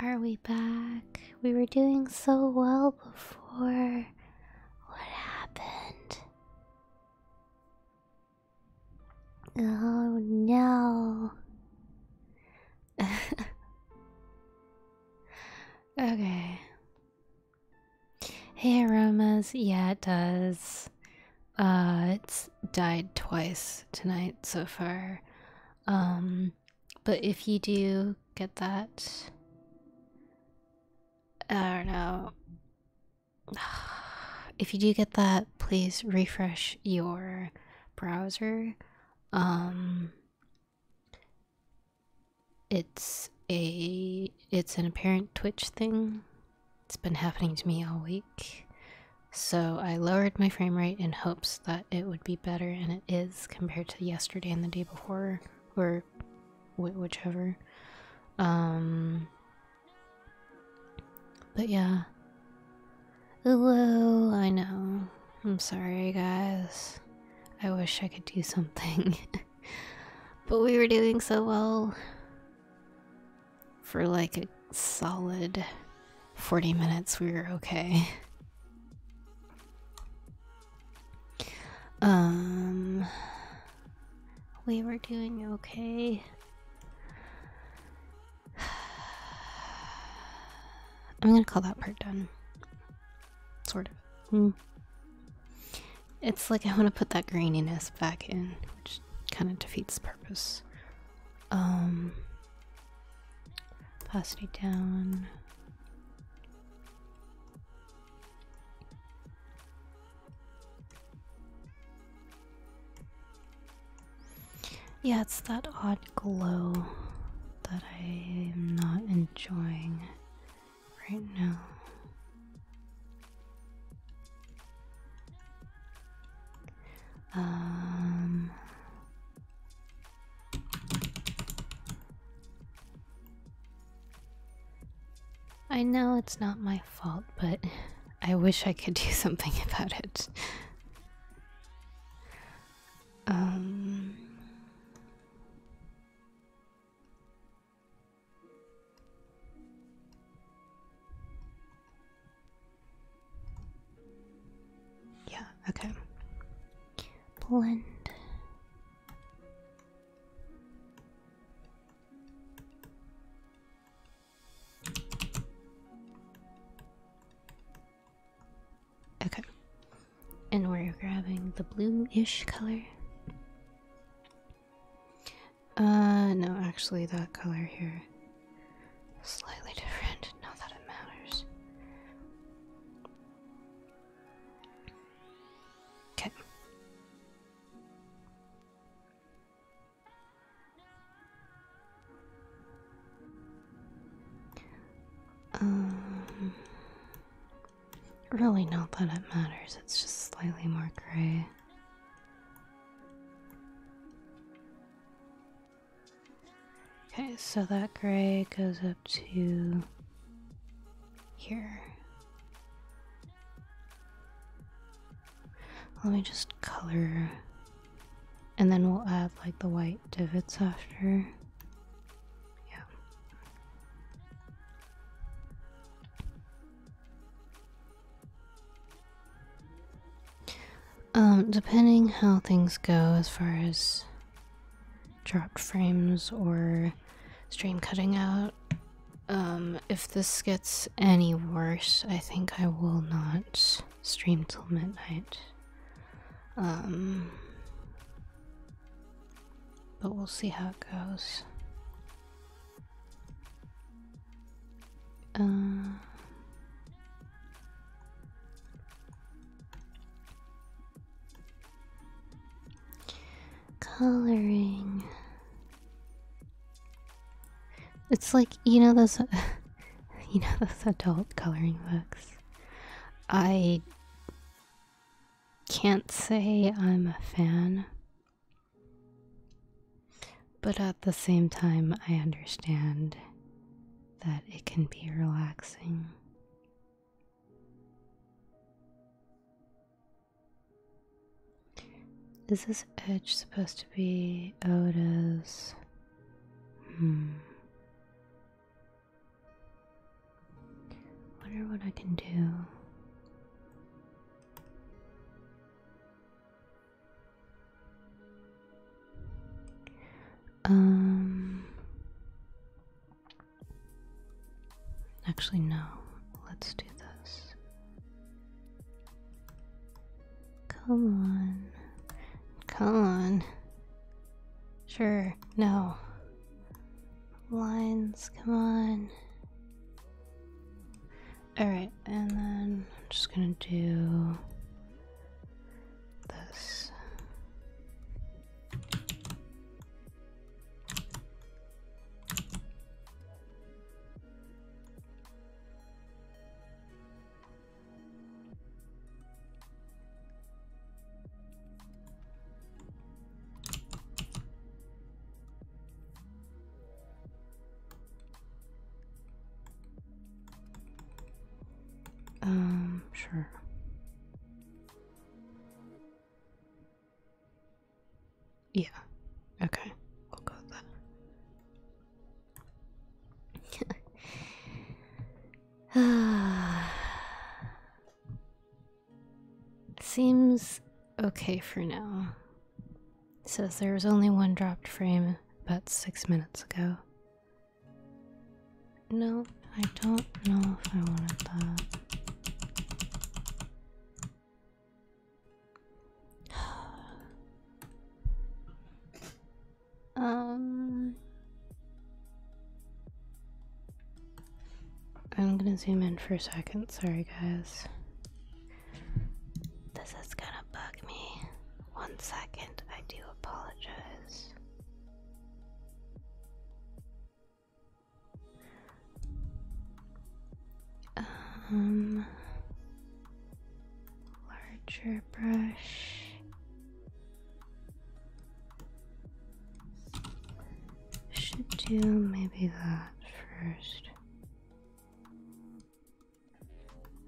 Are we back? We were doing so well before. What happened? Oh no. okay. Hey aromas, yeah it does. Uh it's died twice tonight so far. Um but if you do get that, I don't know. If you do get that, please refresh your browser. Um, it's a it's an apparent Twitch thing. It's been happening to me all week. So I lowered my frame rate in hopes that it would be better, and it is compared to yesterday and the day before, or whichever. Um, but yeah. Hello, I know. I'm sorry, guys. I wish I could do something. but we were doing so well for like a solid 40 minutes, we were okay. Um, we were doing okay. I'm gonna call that part done. Sort of. Mm. It's like I want to put that graininess back in, which kind of defeats purpose. Um, Opacity down. Yeah, it's that odd glow that I am not enjoying right now. Um, I know it's not my fault, but I wish I could do something about it. Um yeah, okay. Blend. Okay. And we're grabbing the blue-ish color. Uh, no, actually that color here. Slightly different, not that it matters. Okay. Um, really, not that it matters, it's just slightly more gray. Okay, so that gray goes up to here. Let me just color and then we'll add like the white divots after. Yeah. Um, depending how things go as far as dropped frames or stream cutting out, um, if this gets any worse, I think I will not stream till midnight. Um, but we'll see how it goes. Uh, Coloring. It's like you know those, you know those adult coloring books. I can't say I'm a fan. But at the same time, I understand that it can be relaxing. Is this edge supposed to be Oda's? Hmm. Wonder what I can do. Um Actually no. Let's do this. Come on. Come on. Sure. No. Lines, come on. All right and then I'm just gonna do this. Um, sure. Yeah. Okay. We'll go with Seems okay for now says there was only one dropped frame about six minutes ago. No, I don't know if I wanted that. um I'm gonna zoom in for a second, sorry guys. This is gonna bug me. One second, I do apologize. Um, larger brush. Should do maybe that first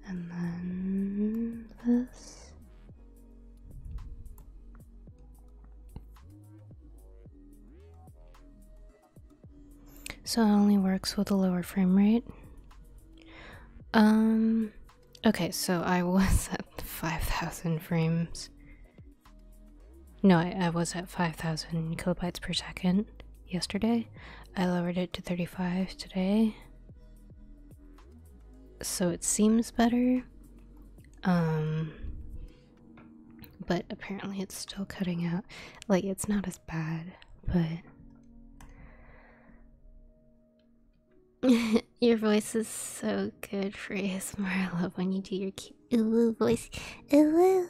and then this. So it only works with a lower frame rate. Um, okay, so I was at 5,000 frames. No, I, was at 5,000 kilobytes per second yesterday. I lowered it to 35 today so it seems better. Um, but apparently it's still cutting out. Like, it's not as bad, but. your voice is so good for ASMR. I love when you do your cute ooh voice. Ooh, ooh, ooh.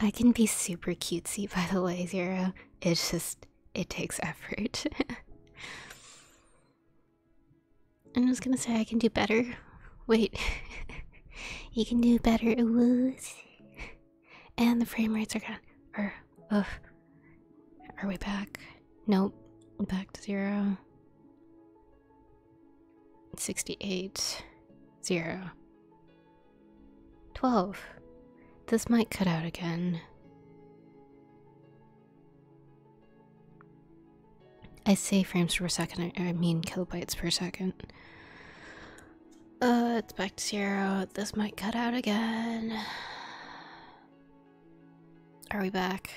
I can be super cutesy, by the way, Zero. It's just it takes effort. I was gonna say I can do better. Wait, you can do better. Woos. And the frame rates are gone. Or, ugh. Are we back? Nope. Back to zero. 68. Zero. 12. This might cut out again. I say frames per second, I mean kilobytes per second. Oh, it's back to zero. This might cut out again. Are we back?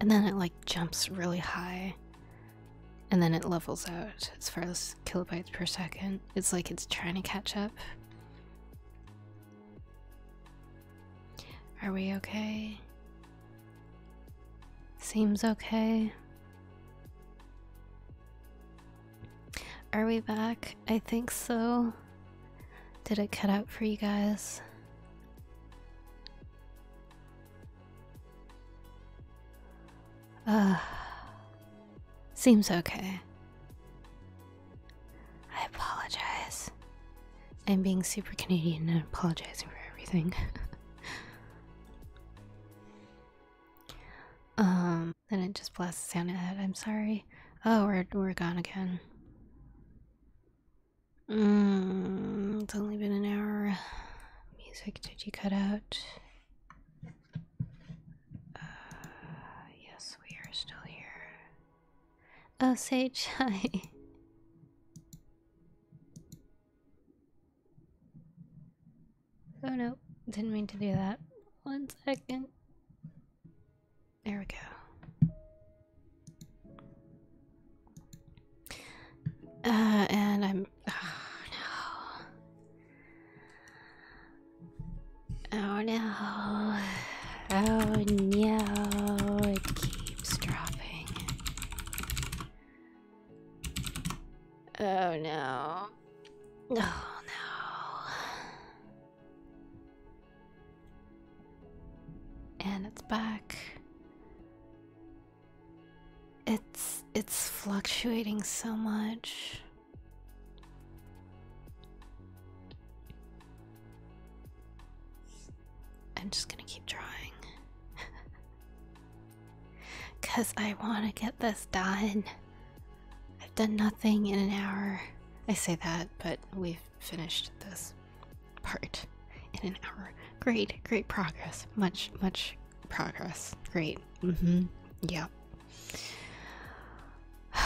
And then it like jumps really high. And then it levels out as far as kilobytes per second. It's like it's trying to catch up. Are we okay? Seems okay. Are we back? I think so. Did it cut out for you guys? Uh, seems okay. I apologize. I'm being super Canadian and apologizing for everything. um, then it just blasts the sound ahead. I'm sorry. Oh, we're we're gone again. Mm, it's only been an hour. Music, did you cut out? Uh, yes, we are still here. Oh, say hi. Oh no, didn't mean to do that. One second. There we go. Uh, and I'm Oh no. Oh no. Oh no. It keeps dropping. Oh no. Oh no. And it's back. It's it's fluctuating so much. I'm just gonna keep trying, Because I want to get this done. I've done nothing in an hour. I say that, but we've finished this part in an hour. Great, great progress. Much, much progress. Great. Mm hmm. Yep. Lighter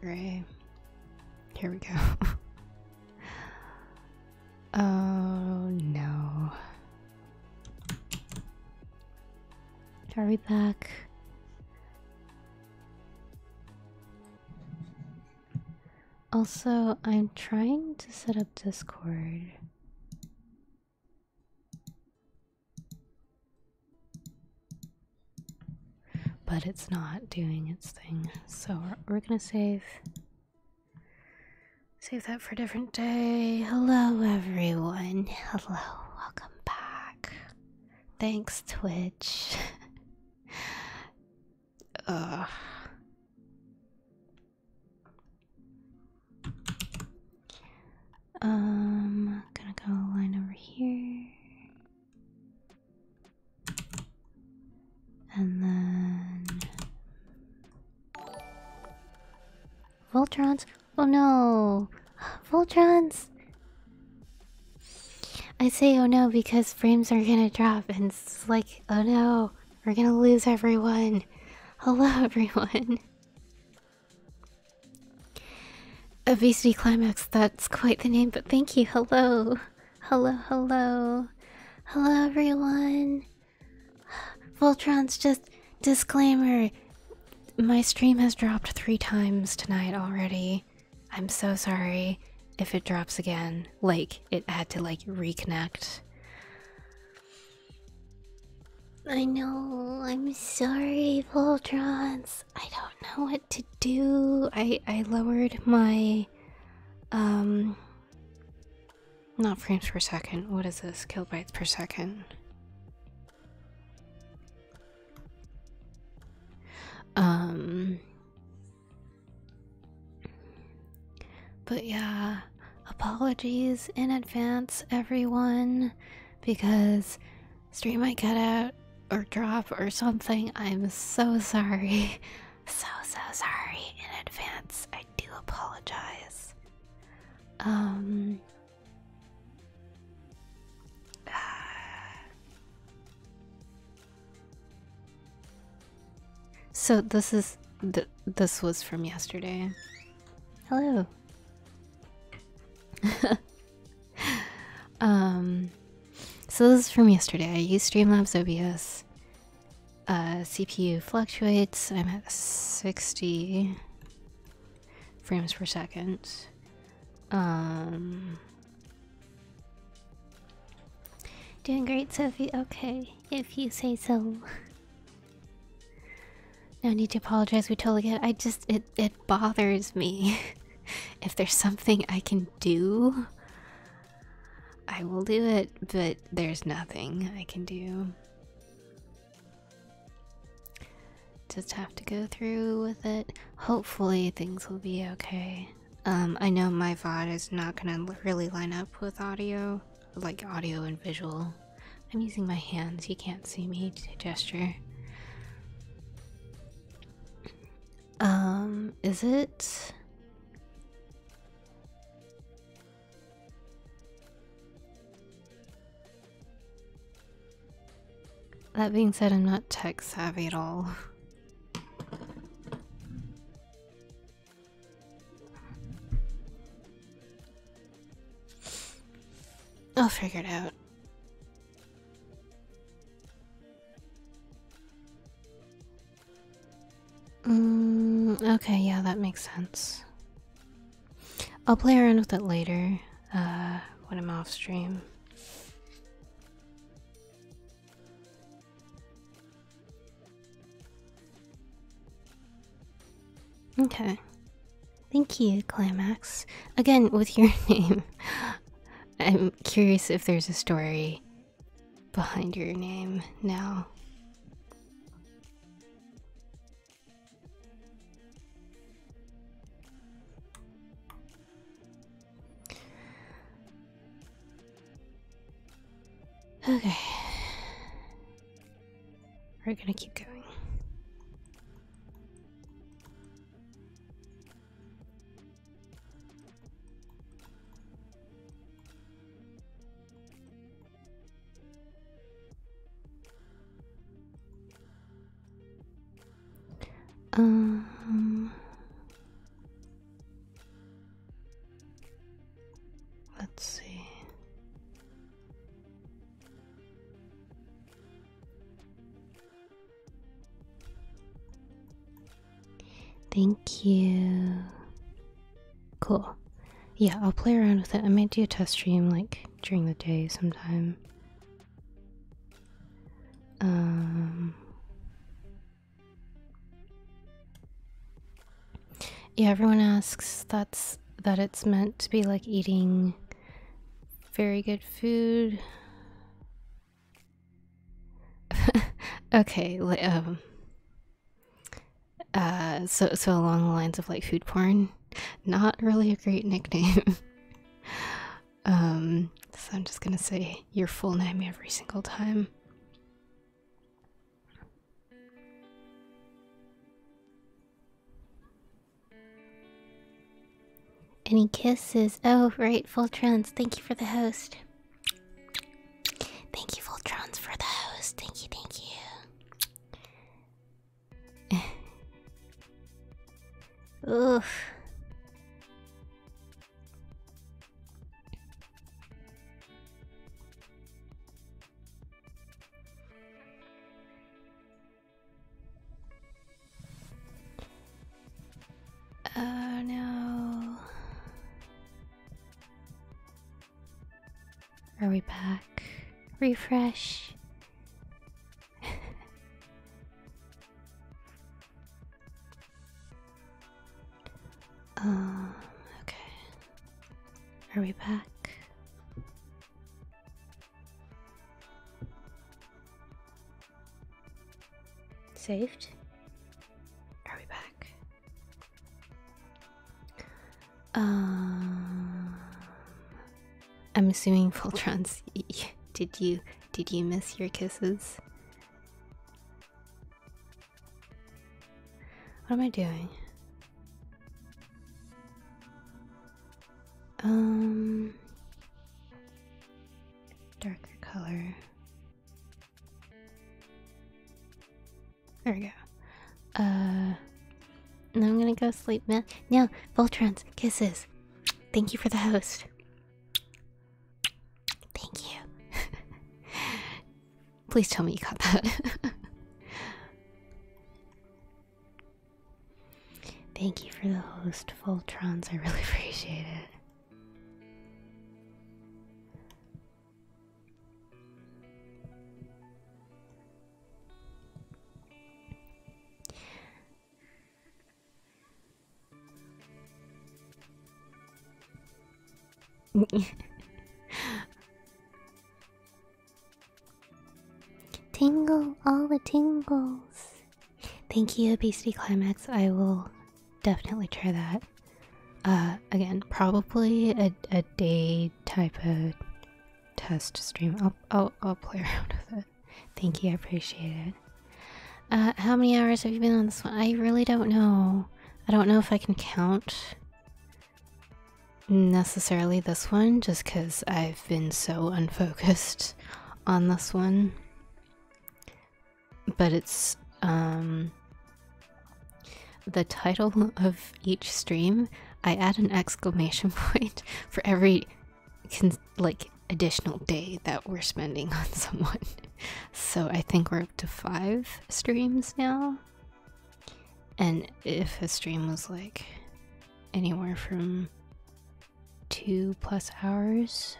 gray. Here we go. oh no. Are back? Also, I'm trying to set up Discord. But it's not doing its thing. So we're, going to save save that for a different day. Hello everyone. Hello. Welcome back. Thanks Twitch. Ugh. I'm um, gonna go line over here. And then Voltrons? Oh no! Voltron! I say oh no because frames are gonna drop and it's like, oh no. We're gonna lose everyone. Hello, everyone. Obesity Climax, that's quite the name, but thank you. Hello. Hello, hello. Hello, everyone. Voltron's just disclaimer. My stream has dropped three times tonight already. I'm so sorry if it drops again. Like, it had to, like, reconnect. I know, I'm sorry, Voltrons. I don't know what to do. I I lowered my um not frames per second. What is this? Kilobytes per second. Um But yeah, apologies in advance, everyone, because stream might cut out or drop or something. I'm so sorry. So, so sorry in advance. I do apologize. Um. So this is this was from yesterday. Hello. um so this is from yesterday. I use Streamlabs OBS. Uh, CPU fluctuates. I'm at 60 frames per second. Um, doing great, Sophie. Okay, if you say so. No need to apologize, we totally get it. I just it it bothers me. if there's something I can do, I will do it, but there's nothing I can do. Just have to go through with it. Hopefully things will be okay. Um, I know my VOD is not gonna really line up with audio like audio and visual. I'm using my hands, you can't see me gesture. Um, is it That being said, I'm not tech savvy at all. I'll figure it out. Mm, okay, yeah, that makes sense. I'll play around with it later uh, when I'm off stream. Okay. Thank you, Climax. Again, with your name. I'm curious if there's a story behind your name now. Okay. We're gonna keep going. Um Let's see. Thank you. Cool. Yeah, I'll play around with it. I might do a test stream like during the day sometime. Um yeah, everyone asks that's that it's meant to be like eating very good food. okay, um, uh, so so along the lines of like food porn. Not really a great nickname. Um, so I'm just going to say your full name every single time. Any kisses? Oh, right, Voltrons. Thank you for the host. Thank you, Voltrons, for the host. Thank you, thank you. Oof. Oh no. Are we back? Refresh. Um, okay. Are we back? Saved? Are we back? Um, I'm assuming Voltron's. did you did you miss your kisses? What am I doing? Um, darker color. There we go. Uh, now I'm gonna go sleep, man. Now, Voltron's kisses. Thank you for the host. Thank you. Please tell me you got that. Thank you for the host, Voltrons. I really appreciate it. Tingle all the tingles. Thank you, Obesity Climax. I will definitely try that. Uh, again, probably a, a day type of test stream. I'll, I'll, play around with it. Thank you, I appreciate it. Uh, how many hours have you been on this one? I really don't know. I don't know if I can count necessarily this one just because I've been so unfocused on this one. But it's um the title of each stream, I add an exclamation point for every like additional day that we're spending on someone so I think we're up to five streams now. And if a stream was like anywhere from two plus hours,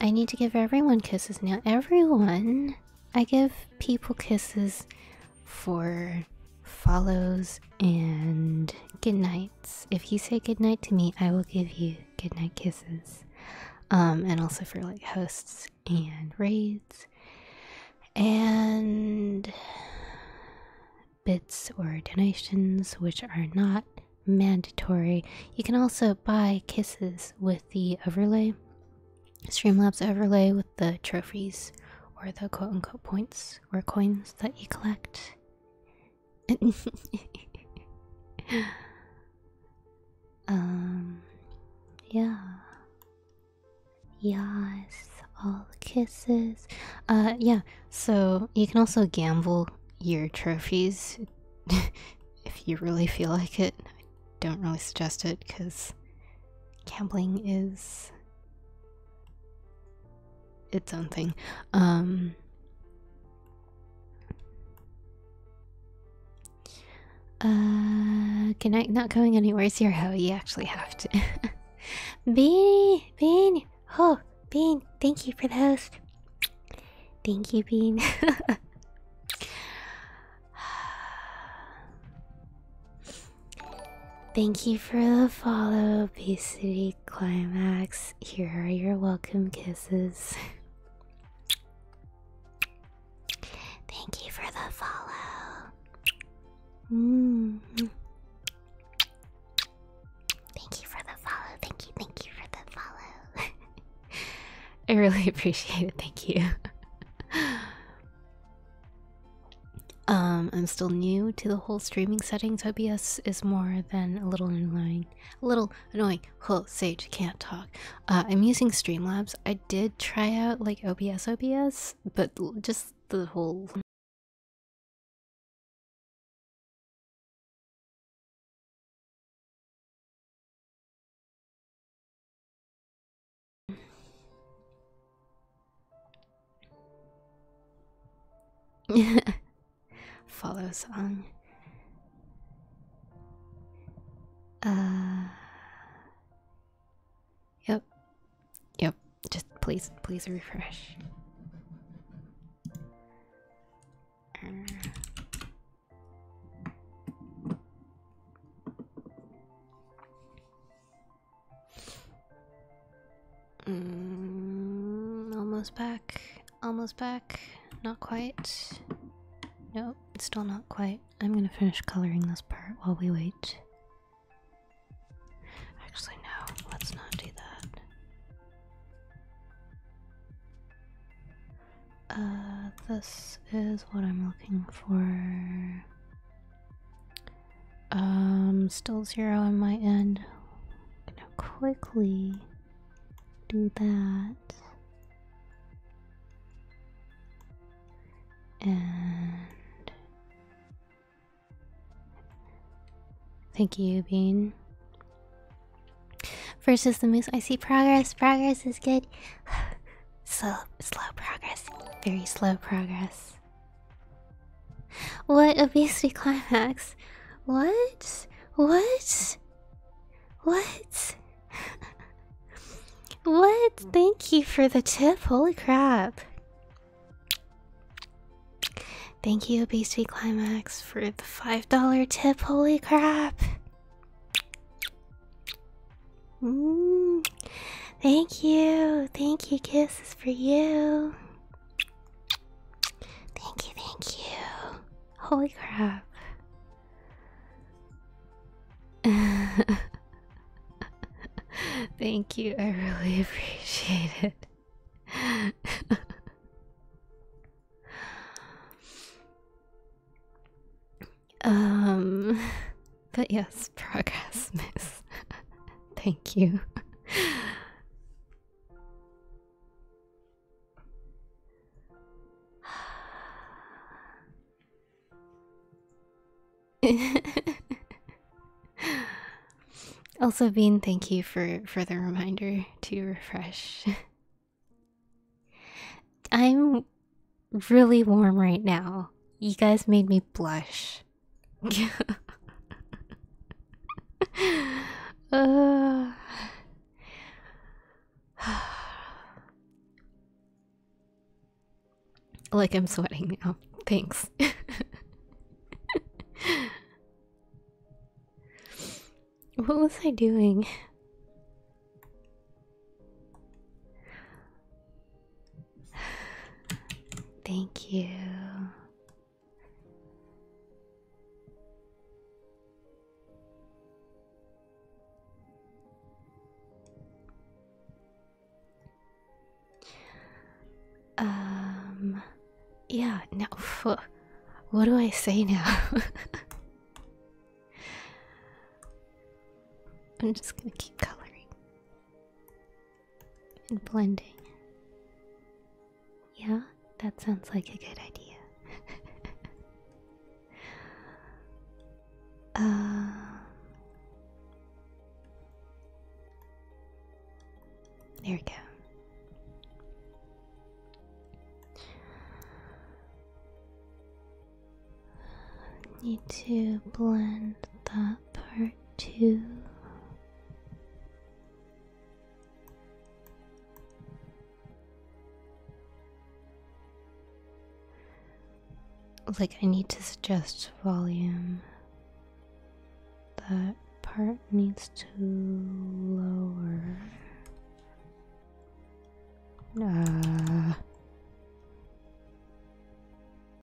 I need to give everyone kisses now. Everyone! I give people kisses for follows and good night if you say goodnight to me, I will give you goodnight kisses. Um, and also for like hosts and raids and bits or donations, which are not mandatory. You can also buy kisses with the overlay, Streamlabs overlay with the trophies or the quote unquote points or coins that you collect. um, yeah. Yes, all the kisses. Uh, yeah, so you can also gamble your trophies if you really feel like it. I don't really suggest it because gambling is its own thing. Um, uh, good night. Not going anywhere. How oh, You actually have to. Bean, Bean, oh, Bean. Thank you for the host. Thank you, Bean. Thank you for the follow, obesity climax. Here are your welcome kisses. Thank you for the follow. Mm. Thank you for the follow. Thank you, thank you for the follow. I really appreciate it. Thank you. Um, I'm still new to the whole streaming settings. OBS is more than a little annoying. A little annoying. Oh, Sage can't talk. Uh, I'm using Streamlabs. I did try out like OBS, OBS, but just the whole. Follow song. Uh. Yep. Yep. Just please, please refresh. Mm, almost back. Almost back. Not quite. No, it's still not quite. I'm gonna finish coloring this part while we wait. Actually, no, let's not do that. Uh, this is what I'm looking for. Um, still zero on my end. I'm gonna quickly do that. And thank you, Bean. Versus the moose. I see progress. Progress is good. slow, slow progress. Very slow progress. What a beastly climax. What? What? What? what? Thank you for the tip. Holy crap. Thank you, Beastie Climax, for the $5 tip. Holy crap. Mm. Thank you. Thank you. Kisses for you. Thank you, thank you. Holy crap. thank you, I really appreciate it. um, but yes, progress, miss. Thank you. also bean thank you for for the reminder to refresh i'm really warm right now you guys made me blush like I'm sweating now. Thanks. what was I doing? Thank you. Um, yeah, now, what do I say now? I'm just gonna keep coloring and blending. Yeah, that sounds like a good idea. um, there we go. Need to blend that part two. Like, I need to suggest volume. That part needs to lower. Uh,